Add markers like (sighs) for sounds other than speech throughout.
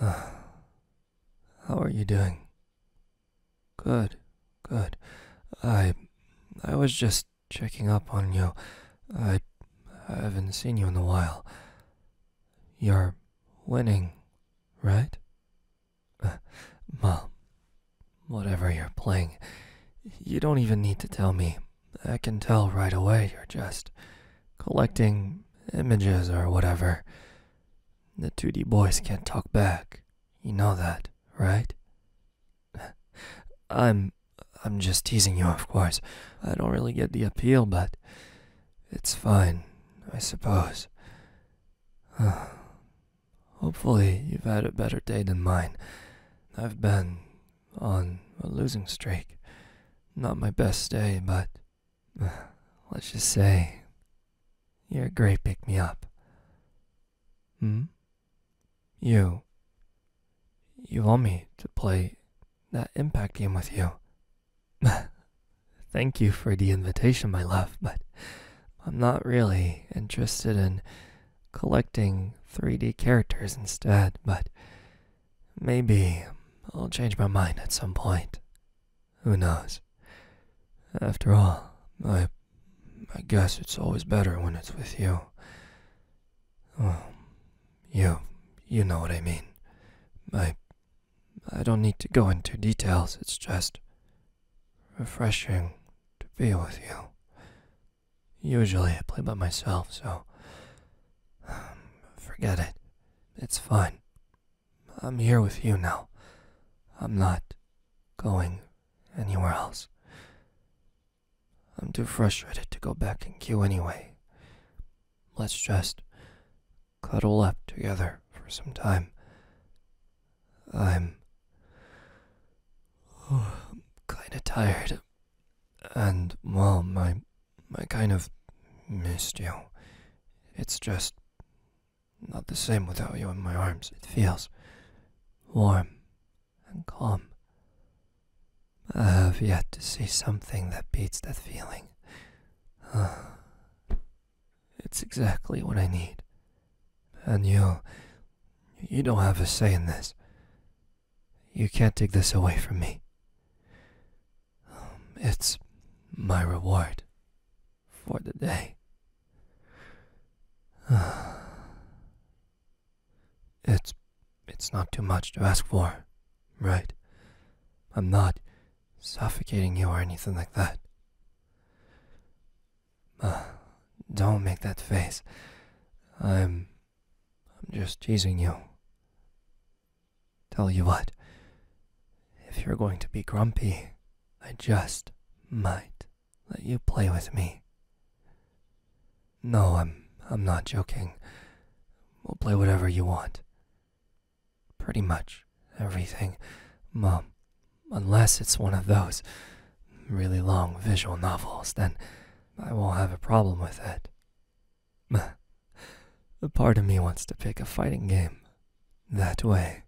How are you doing? Good, good. I. I was just checking up on you. I haven't seen you in a while. You're winning, right? Mom, (laughs) whatever you're playing, you don't even need to tell me. I can tell right away you're just collecting images or whatever. The 2D boys can't talk back. You know that, right? (laughs) I'm I'm just teasing you, of course. I don't really get the appeal, but it's fine, I suppose. (sighs) Hopefully, you've had a better day than mine. I've been on a losing streak. Not my best day, but (sighs) let's just say you're a great pick me up. Hmm? You. You want me to play that impact game with you? (laughs) Thank you for the invitation, my love, but I'm not really interested in collecting 3D characters instead, but Maybe I'll change my mind at some point. Who knows? After all, I, I guess it's always better when it's with you. Oh, you, you know what I mean. I, I don't need to go into details. It's just refreshing to be with you. Usually I play by myself, so (sighs) Forget it. It's fine. I'm here with you now. I'm not going anywhere else. I'm too frustrated to go back in queue anyway. Let's just cuddle up together for some time. I'm, (sighs) kinda tired. And, well, my. I kind of missed you. It's just. not the same without you in my arms. It feels. warm and calm. I have yet to see something that beats that feeling. (sighs) It's exactly what I need. And you. you don't have a say in this. You can't take this away from me it's my reward for the day. (sighs) it's it's not too much to ask for, right? I'm not suffocating you or anything like that. (sighs) don't make that face. I'm I'm just teasing you. Tell you what, if you're going to be grumpy, I just might let you play with me. No, I'm I'm not joking. We'll play whatever you want. Pretty much everything, Mom. Unless it's one of those really long visual novels, then I won't have a problem with it a part of me wants to pick a fighting game. That way,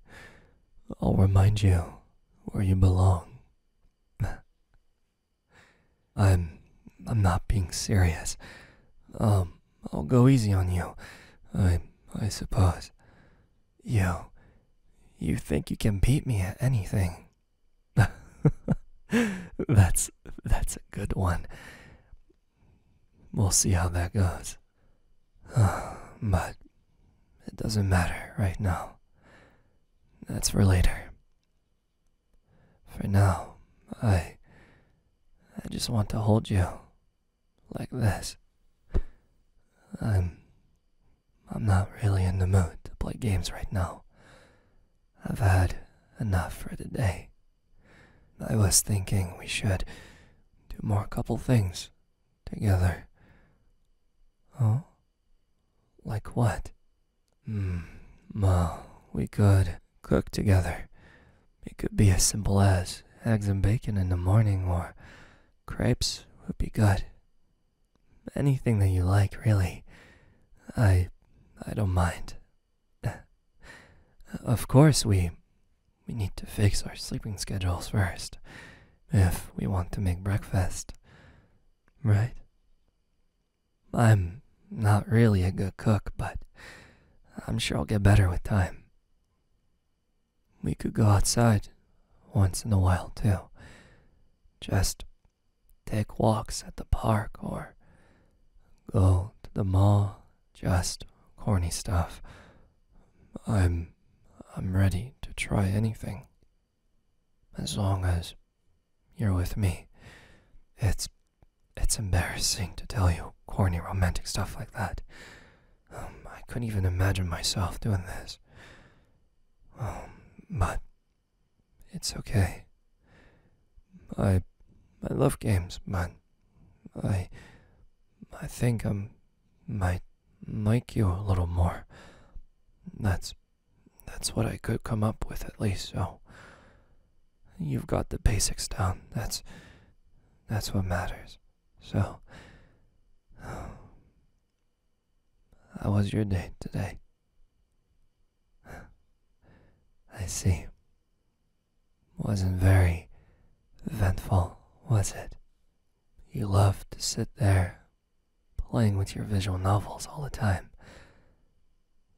I'll remind you where you belong. I'm I'm not being serious. Um, I'll go easy on you. I I suppose. You you think you can beat me at anything. (laughs) that's that's a good one. We'll see how that goes. but it doesn't matter right now. That's for later. For now, I. I just want to hold you. Like this. I'm. I'm not really in the mood to play games right now. I've had enough for today. I was thinking we should do more couple things together. Oh? Like what? Hmm. Well, we could cook together. It could be as simple as eggs and bacon in the morning, or crepes would be good. Anything that you like, really. I. I don't mind. (laughs) of course, we we need to fix our sleeping schedules first if we want to make breakfast. Right? I'm not really a good cook, but I'm sure I'll get better with time. We could go outside once in a while, too. Just take walks at the park, or go to the mall. Just corny stuff. I'm I'm ready to try anything. As long as you're with me. It's it's embarrassing to tell you corny romantic stuff like that. Um, I couldn't even imagine myself doing this. Um, but it's okay. I I love games, man. I I think I'm might like you a little more. That's that's what I could come up with at least, so you've got the basics down. That's that's what matters. So how was your day today? I see. Wasn't very eventful, was it? You love to sit there playing with your visual novels all the time.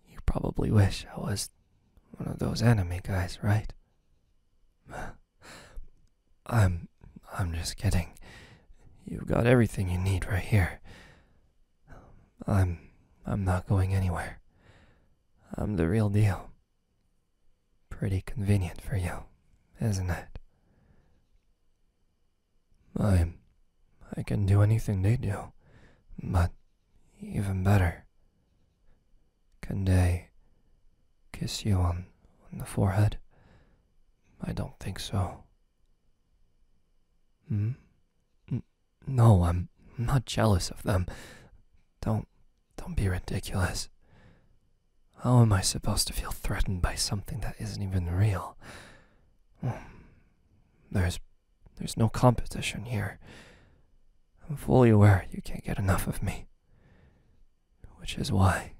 You probably wish I was one of those anime guys, right? (sighs) I'm I'm just kidding. You've got everything you need right here. I'm I'm not going anywhere. I'm the real deal. Pretty convenient for you, isn't it? I I can do anything they do, but even better. Can they kiss you on, on the forehead? I don't think so. Hmm? N hmm? No, I'm not jealous of them. Don't don't be ridiculous. How am I supposed to feel threatened by something that isn't even real? Hmm. There's there's no competition here. I'm fully aware you can't get enough of me. Which is why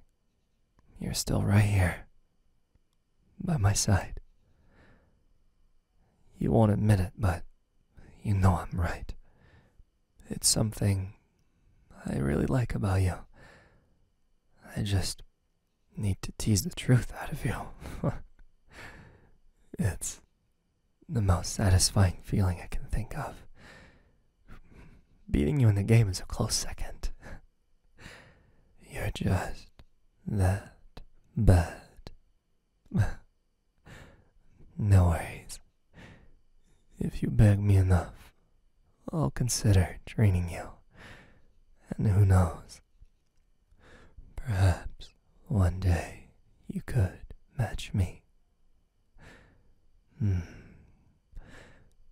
you're still right here by my side. You won't admit it, but you know I'm right. It's something I really like about you. I just need to tease the truth out of you. (laughs) it's the most satisfying feeling I can think of. Beating you in the game is a close second. (laughs) You're just that bad (laughs) no worries. If you beg me enough, I'll consider training you. And who knows? Perhaps one day you could match me. Hmm.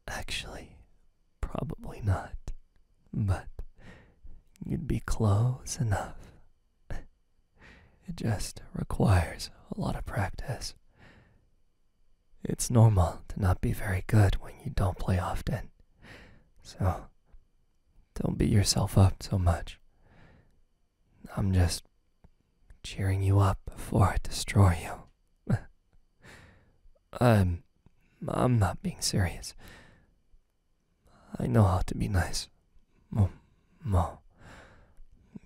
Actually, probably not but you'd be close enough. It just requires a lot of practice. It's normal to not be very good when you don't play often, so don't beat yourself up so much. I'm just cheering you up before I destroy you. I'm, (laughs) um, I'm not being serious. I know how to be nice. Mo,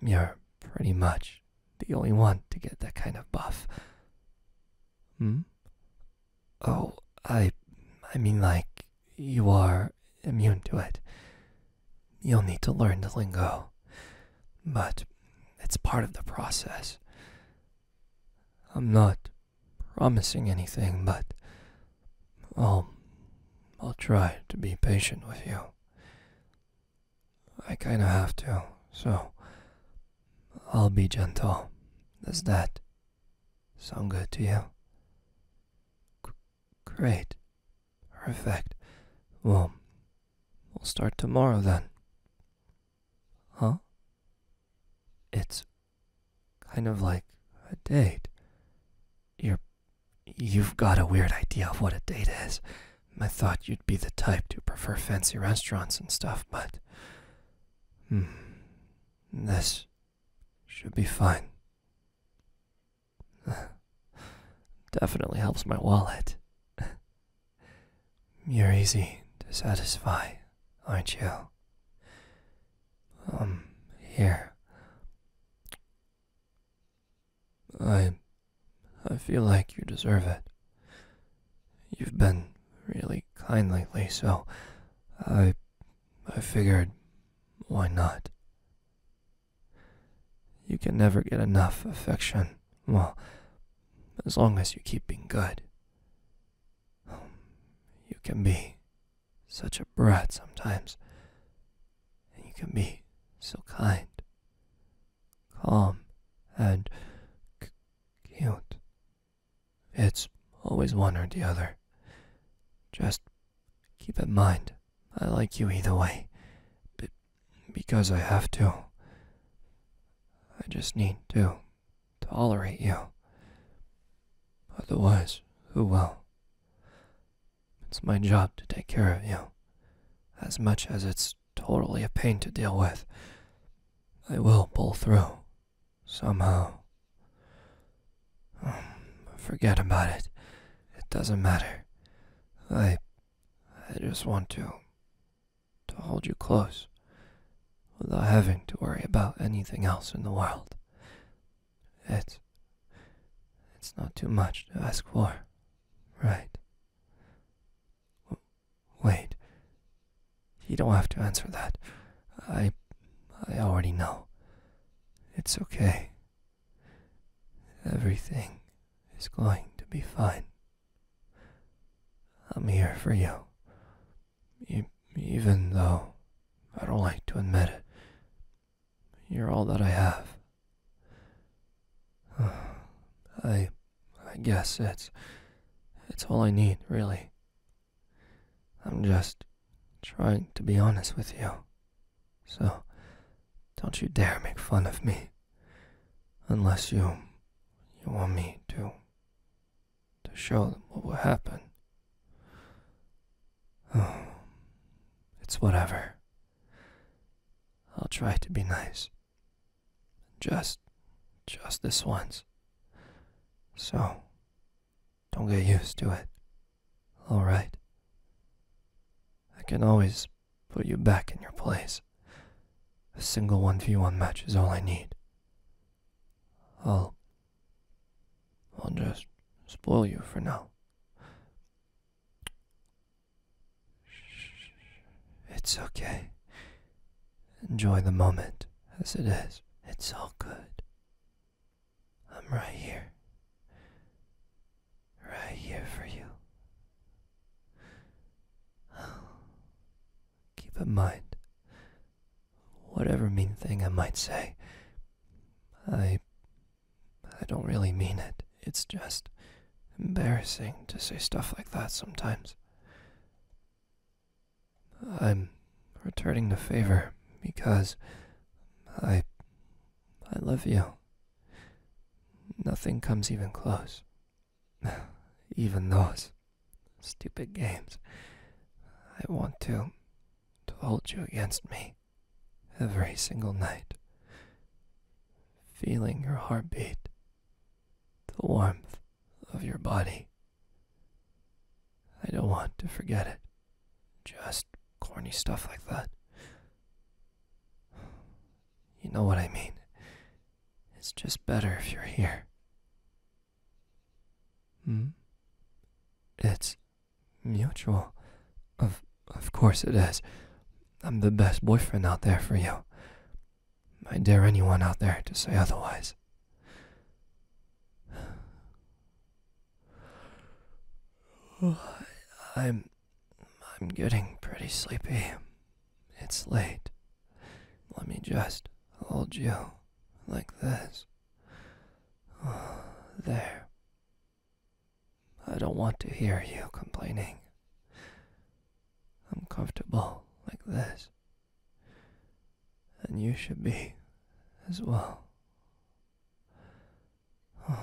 you're pretty much the only one to get that kind of buff. Hmm? Oh, I, I mean like, you are immune to it. You'll need to learn the lingo. But it's part of the process. I'm not promising anything, but I'll, um, I'll try to be patient with you. I kinda have to, so I'll be gentle. Does that sound good to you? great. Perfect. Well, we'll start tomorrow then. Huh? It's Kind of like a date. You're. You've got a weird idea of what a date is. I thought you'd be the type to prefer fancy restaurants and stuff, but. Hmm. This should be fine. (laughs) Definitely helps my wallet. (laughs) You're easy to satisfy, aren't you? Um, here. I. I feel like you deserve it. You've been really kind lately, so I. I figured, why not? You can never get enough affection. Well, as long as you keep being good, um, you can be such a brat sometimes, and you can be so kind, calm, and c cute. It's always one or the other. Just keep in mind, I like you either way, but because I have to. I just need to tolerate you. Otherwise, who will? It's my job to take care of you. As much as it's totally a pain to deal with, I will pull through. Somehow. Um, forget about it. It doesn't matter. I. I just want to. to hold you close without having to worry about anything else in the world. It's, it's not too much to ask for, right? wait, you don't have to answer that. I, I already know. It's okay. Everything is going to be fine. I'm here for you even though I don't like to admit it, you're all that I have. (sighs) I, I guess it's, it's all I need, really. I'm just trying to be honest with you. So, don't you dare make fun of me. Unless you, you want me to to show them what will happen. Oh, it's whatever. I'll try to be nice. Just, just this once. So, don't get used to it. Alright? I can always put you back in your place. A single 1v1 match is all I need. I'll. Oh. I'll just spoil you for now. It's okay. Enjoy the moment as it is. It's all good. I'm right here. Right here for you. Keep in mind, whatever mean thing I might say. I. I don't really mean it. It's just embarrassing to say stuff like that sometimes. I'm returning the favor because I. I love you. Nothing comes even close. (sighs) even those Stupid games. I want to. to hold you against me. Every single night. Feeling your heartbeat. The warmth of your body. I don't want to forget it. Just corny stuff like that. You know what I mean. It's just better if you're here. Hmm? It's mutual. Of of course it is. I'm the best boyfriend out there for you. I dare anyone out there to say otherwise. (sighs) I'm I'm getting pretty sleepy. It's late. Let me just hold you like this. (sighs) There. I don't want to hear you complaining. I'm comfortable like this. And you should be as well. Oh,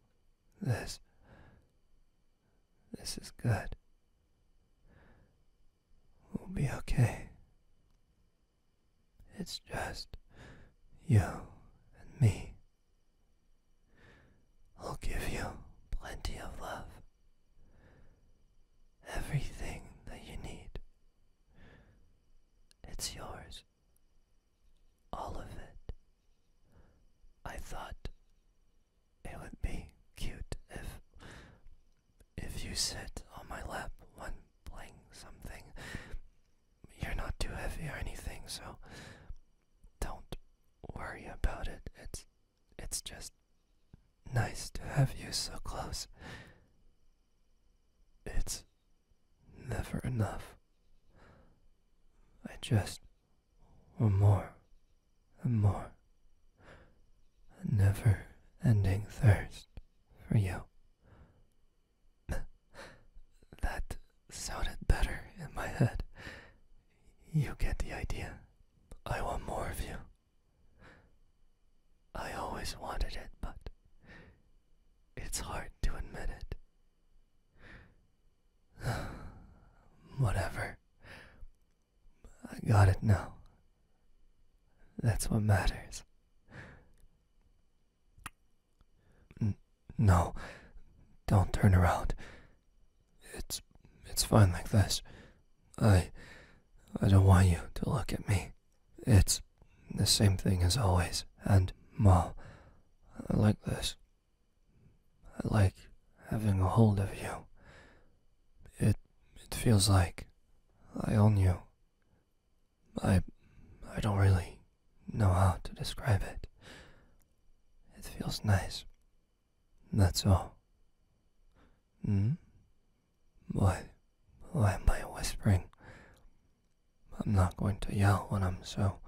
(sighs) this. This is good. We'll be okay. It's just you and me. I'll give you plenty of love. Everything that you need. It's yours. All of it. I thought it would be cute if if you sit on my lap when playing something, you're not too heavy or anything, so don't worry about it. It's it's just nice to have you so close. It's never enough. I just want more and more. A never ending thirst for you. (laughs) that sounded better in my head. You get the idea. I want more of you. I always wanted it, but it's hard to admit it. (sighs) Whatever. I got it now. That's what matters. no, don't turn around. It's it's fine like this. I I don't want you to look at me. It's the same thing as always. And Mom, I like this. I like having a hold of you. It it feels like I own you. I I don't really know how to describe it. It feels nice. That's all. Hmm? Why why am I whispering? I'm not going to yell when I'm so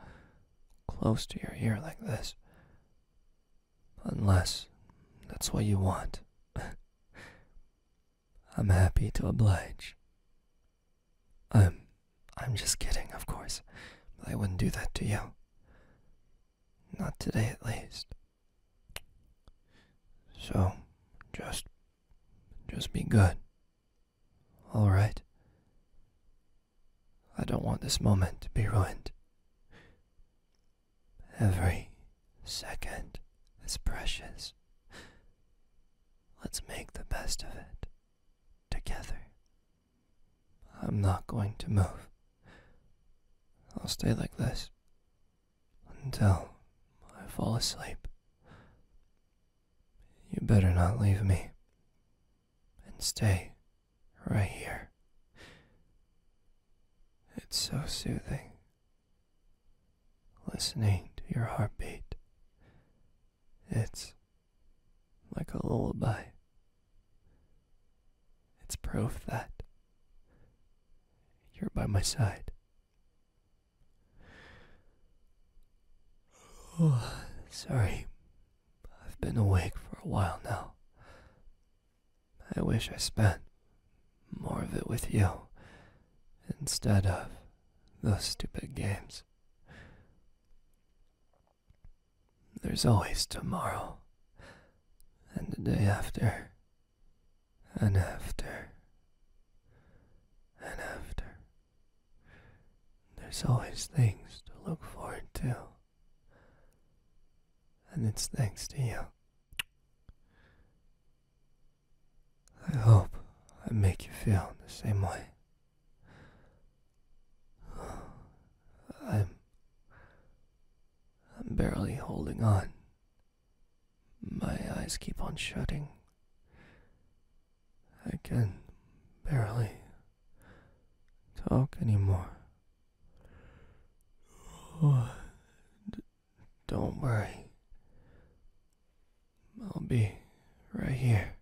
close to your ear like this. Unless that's what you want. (laughs) I'm happy to oblige. I'm um, I'm just kidding, of course. I wouldn't do that to you. Not today at least. So just just be good. All right. I don't want this moment to be ruined. Every second is precious. Let's make the best of it together. I'm not going to move. I'll stay like this until I fall asleep. You better not leave me and stay right here. It's so soothing listening to your heartbeat. It's like a lullaby. It's proof that you're by my side. (sighs) sorry. I've been awake for a while now. I wish I spent more of it with you instead of those stupid games. There's always tomorrow, and the day after, and after, and after. There's always things to look forward to, and it's thanks to you. I hope I make you feel the same way. I'm. I'm barely holding on. My eyes keep on shutting. I can barely talk anymore. Don't worry. I'll be right here.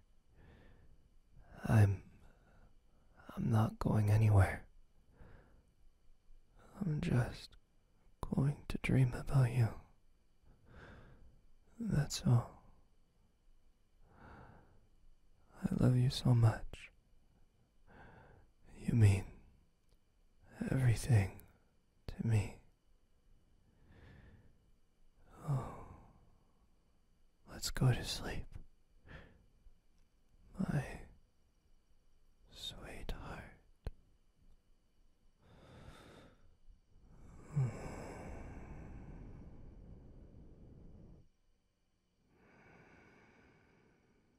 I'm. I'm not going anywhere. I'm just going to dream about you. That's all. I love you so much. You mean everything to me. Oh, let's go to sleep, my sweetheart.